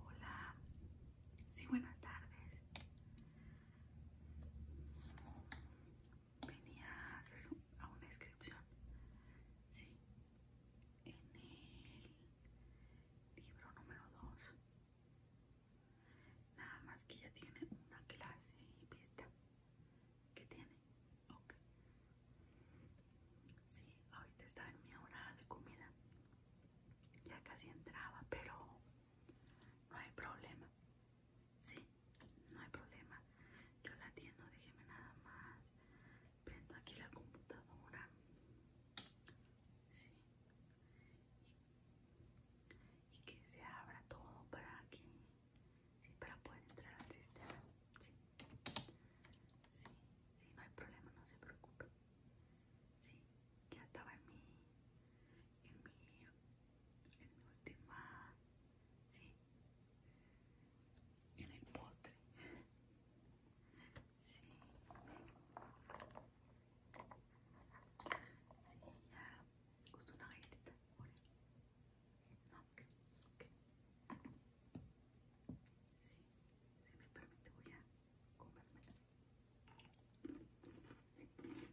Hola, sí, buenas tardes. Venía a hacer una inscripción, sí, en el libro número 2. Nada más que ya tiene una clase vista. ¿Qué tiene? Ok. Sí, ahorita estaba en mi hora de comida. Ya casi entraba, pero no hay problema. Sí, no hay problema. Yo la atiendo, déjeme nada más. Prendo aquí la computadora. Sí. Y que se abra todo para que Sí, para poder entrar al sistema. Sí. Sí, no hay problema, no se preocupe. Sí, ya estaba en mi. En mi. En mi última. Sí. En el postre. Sí. Sí, ya. una galletita. No, ok. Sí, si me permite voy a comerme.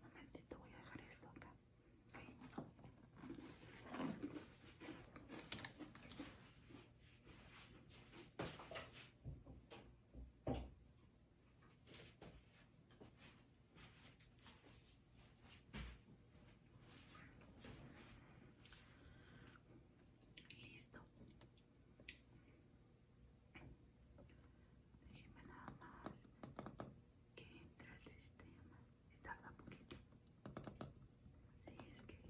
Un momentito, voy a dejar esto acá. Listo. Déjeme nada más que entre al sistema. Se tarda poquito. Sí, es que...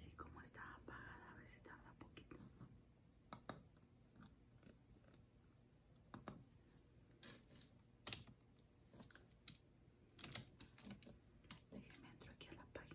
Sí, como está apagada, a ver si tarda poquito. Déjenme entro aquí a la página.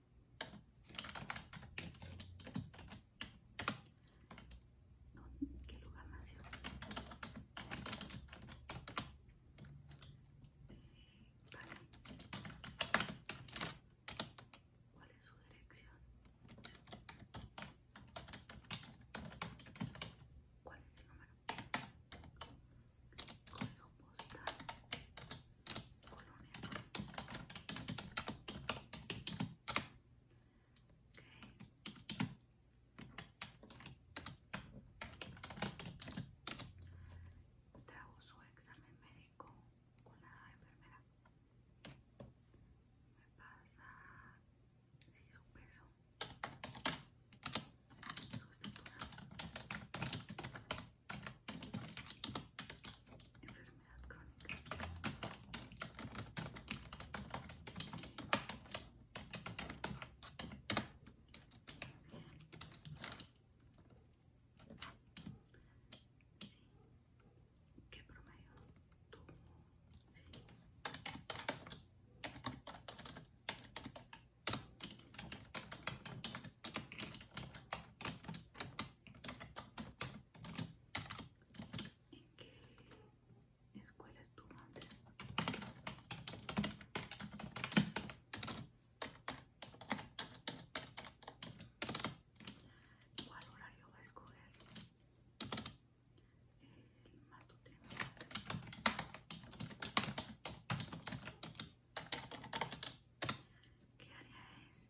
¿En qué lugar nació? ¿Cuál es su dirección? ¿Cuál es su número? Código postal colonia. Okay. su examen médico con la enfermera. Me pasa si su peso, su estatura enfermedad crónica sí. ¿Qué promedio ¿En qué escuela estuvo antes? ¿Cuál horario va a escoger? El matutino. ¿Qué área es?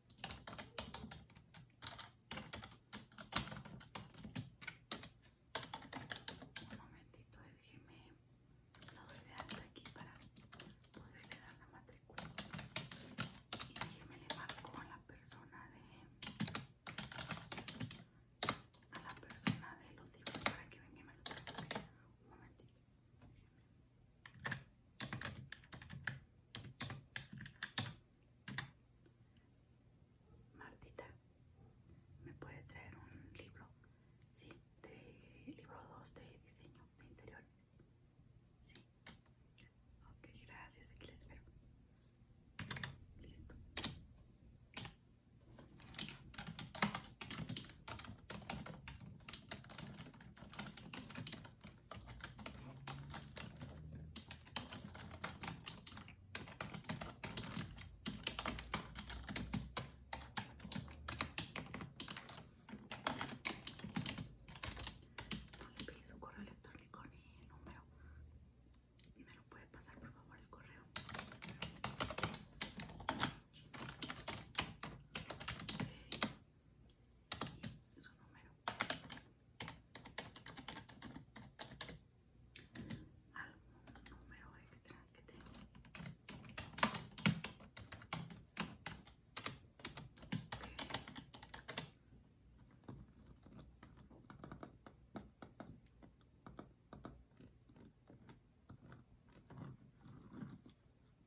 Un momentito, déjeme. Lo doy de alta aquí para poderle dar la matrícula. Y déjeme le marco a la persona de. A la persona de los libros para que venga y me lo traiga. Un momentito. Martita, ¿me puede traer un libro? Sí, de libro dos de diseño de interior Sí. Ok, gracias, aquí les espero. Listo. No le pide su correo electrónico ni el número. ¿Me lo puede pasar por favor el correo? y su número. Algún número extra que tengo.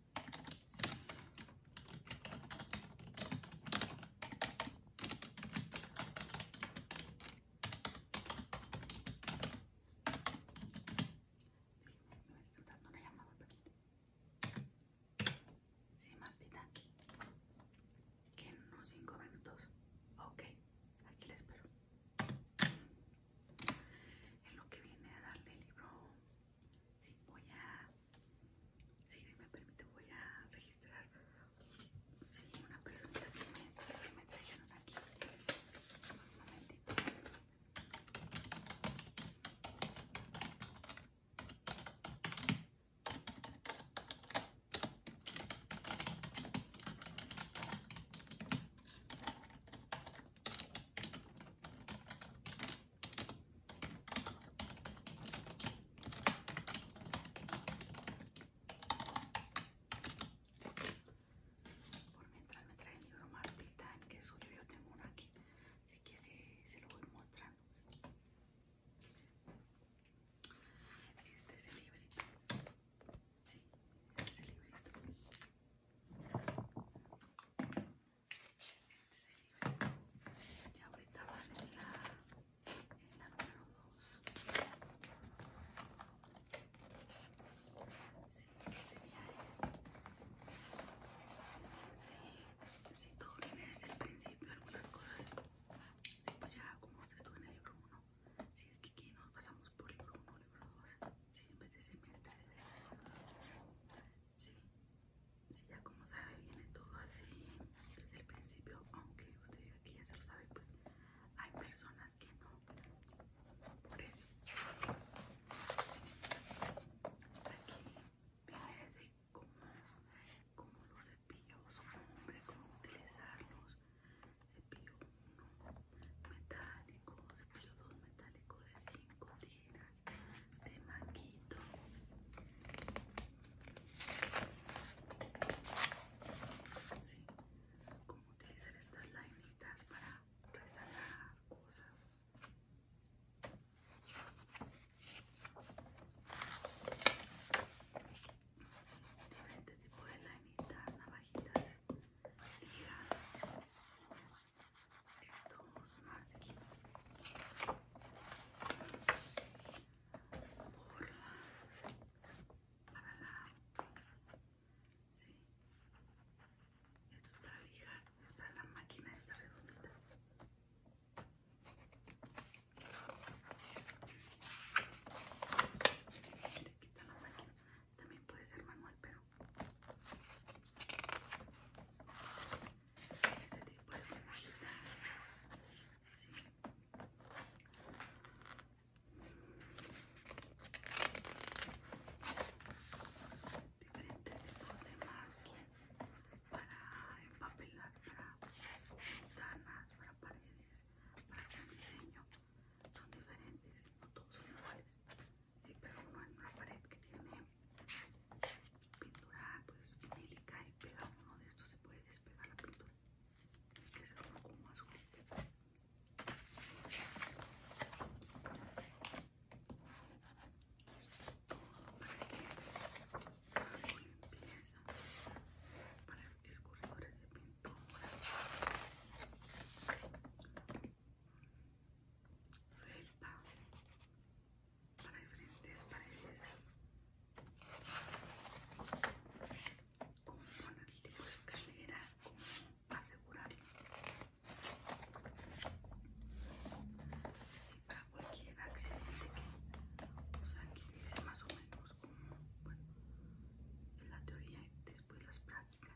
me está dando una llamada, Sí, Martita. Que en unos cinco minutos. Ok, aquí la espero. En lo que viene a darle el libro, sí, voy a Sí, si me permite voy a registrar una persona que me, trajeron aquí. Por mientras me trae el libro Martita, que es suyo, yo tengo uno aquí. Si quiere, se lo voy mostrando. Este es el librito. Sí, este es el librito ya ahorita van en la, en la número 2 sí, sería este si sí, sí, todo viene desde el principio algunas cosas Si pues ya como usted estuvo en el libro 1 si es que aquí nos pasamos por libro 1 libro 2 si sí, en vez de semestre Sí, sí, ya como sabe viene todo así desde el principio, aunque usted aquí ya se lo sabe, pues hay personas que no. Por eso. Aquí viene desde cómo, cómo los cepillos, hombre cómo utilizarlos. Cepillo 1 metálico, cepillo 2 metálico de 5 tiras de maquito sí, como utilizar estas lineitas para resaltar cosas diferentes tipo de lainitas, navajitas, ligas estos más aquí por para la sí esto es para lijar es para la máquina de redondita Mira, aquí está la máquina también puede ser manual pero este tipo de diferentes tipos de bien para empapelar para ventanas para paredes para un diseño son diferentes no todos son iguales sí pero uno en una pared que tiene pintura pues vinílica y pega uno de estos se puede despegar la pintura que se un como más para que limpieza para escurridores de pintura felpas para diferentes paredes con el tipo de escalera como asegurarlo así para cualquier accidente que o más o menos como bueno la teoría y después las prácticas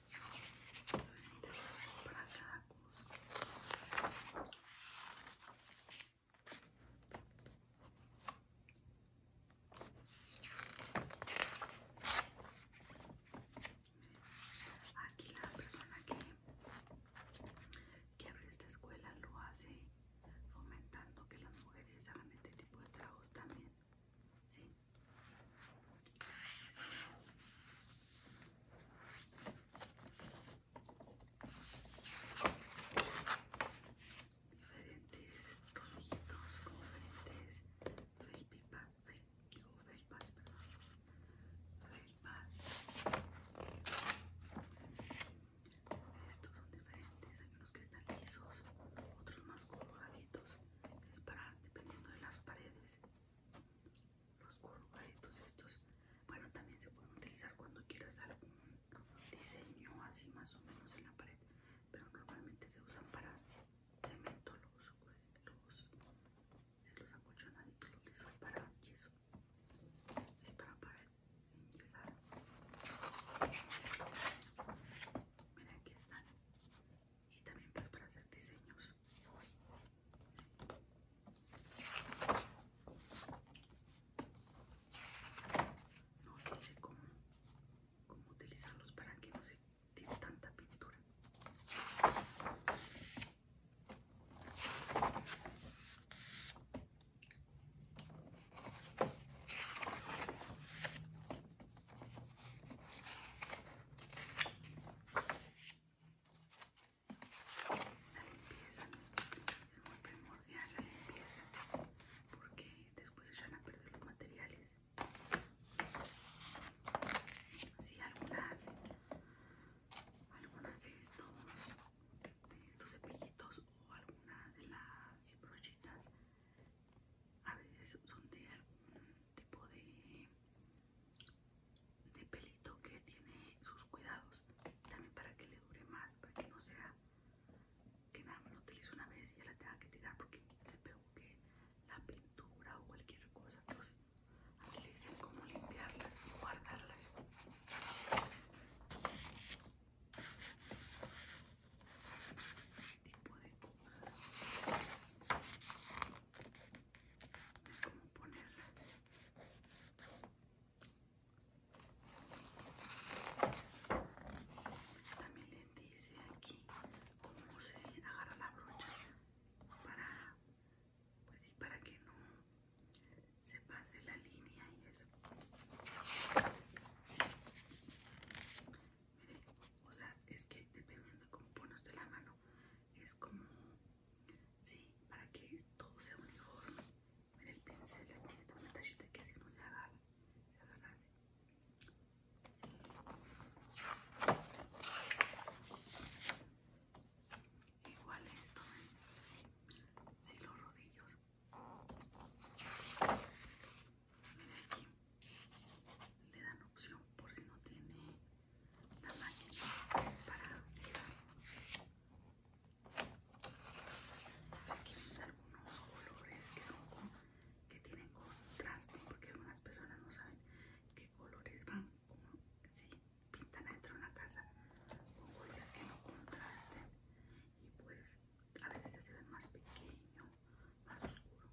cada aquí la persona que que abre esta escuela lo hace fomentando que las mujeres hagan este tipo de trabajos también ¿Sí? Diferentes rollitos con diferentes fake digo felpas, perdón, felpas. Estos son diferentes, hay unos que están lisos, otros más colgaditos, es para dependiendo de las paredes los corrugaditos estos bueno también se pueden utilizar cuando quieras algún diseño así más o menos en la pared pero normalmente se usan para cemento los, los, los acolchonaditos los que son para yeso sí, para pared mira aquí están y también pues para hacer diseños no sé cómo, cómo utilizarlos para que no se tire tanta pintura la limpieza es muy primordial la limpieza porque después se van a perder los materiales si alguna algunas algunas de estos de estos cepillitos o algunas de las brochitas a veces son de algún tipo de de pelito que tiene sus cuidados también para que le dure más para que no sea que nada más lo utilice una vez y ya la tenga que tirar porque le pegó que la pintura o cualquier cosa entonces aquí le dicen cómo limpiarlas y guardarlas este de es como ponerlas también les dice aquí cómo se agarra la brocha para pues sí para que no se pase la línea y eso o sea, es que dependiendo de cómo pones de la mano, es como, sí, para que todo sea uniforme. Mira el pincel aquí, esta una que así no se agarra, se agarra así. Igual esto, si ¿eh? Sí, los rodillos. Mira aquí, le dan opción por si no tiene la para Aquí hay algunos colores que son que tienen contraste, porque algunas personas no saben qué colores van, como si pintan dentro de una casa con colores que no contrasten y pues a veces se ven más pequeño, más oscuro.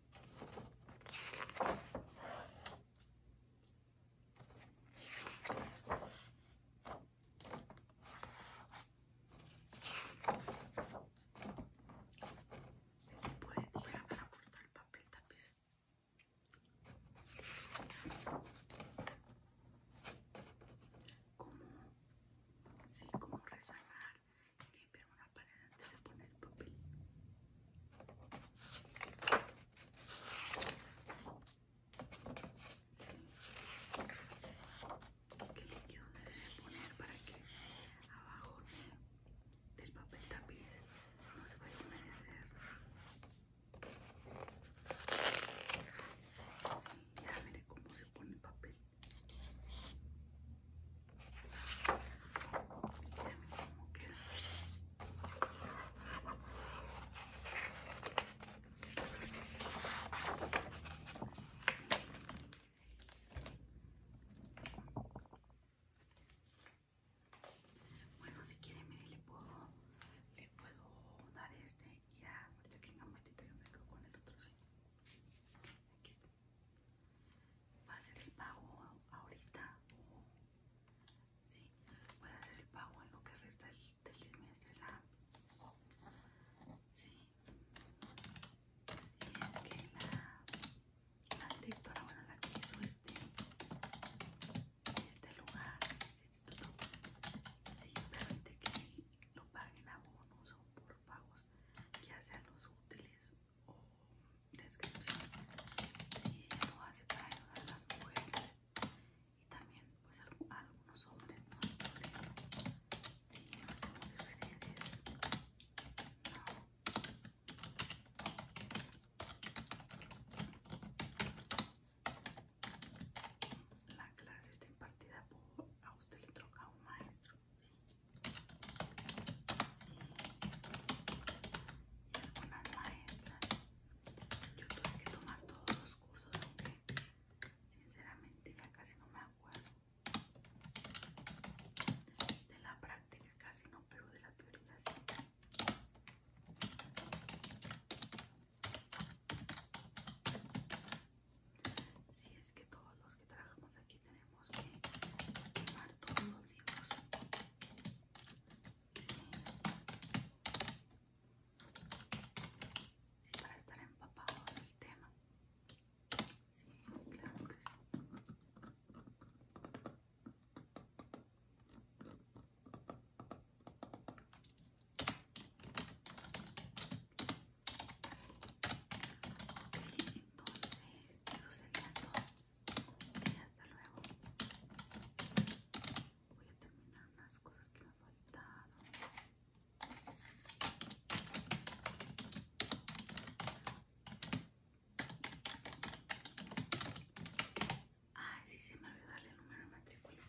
puede tirar para cortar el papel tapiz. Como, sí, como rezanar limpiar una pared antes de poner el papel. ¿Qué líquido debe poner para que abajo del papel tapiz no se vaya a humedecer? ya veré cómo se pone el papel. Bueno, si quieren, mire, le puedo, le puedo dar este y ya, ahorita que en metita yo me quedo con el otro, sí. Aquí está. Va a ser el pago ahorita o Sí, puede hacer el pago en lo que resta del, semestre. La... Sí. es que la, bueno, la que hizo este, este lugar, este sí, permite que lo paguen a bonus o por pagos ya sean los útiles o descripción si lo hace para ayudar a las mujeres y también pues algunos hombres no si sí, no hacemos diferencias no. la clase está impartida por a usted le toca un maestro y algunas maestras. Yo tuve que tomar todos los cursos, aunque sinceramente ya casi no me acuerdo. De la práctica casi no, pero de la teoría si es que todos los que trabajamos aquí tenemos que tomar todos los libros. Sí, para estar empapado el tema. Sí, claro que sí. entonces eso sería todo y hasta luego. Voy a terminar unas cosas que me faltaron. Ay, sí, se me olvidó darle el número de matrícula.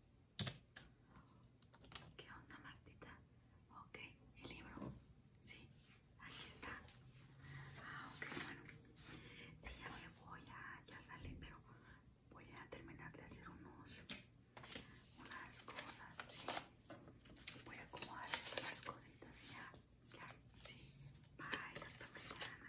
¿Qué onda, Martita? Ok, el libro. Sí, aquí está. Ah, ok, bueno. Sí, ya me voy a. Ya salí, pero voy a terminar de hacer unos. unas cosas. Voy a acomodar las cositas ya. Ya, sí. Bye, hasta mañana.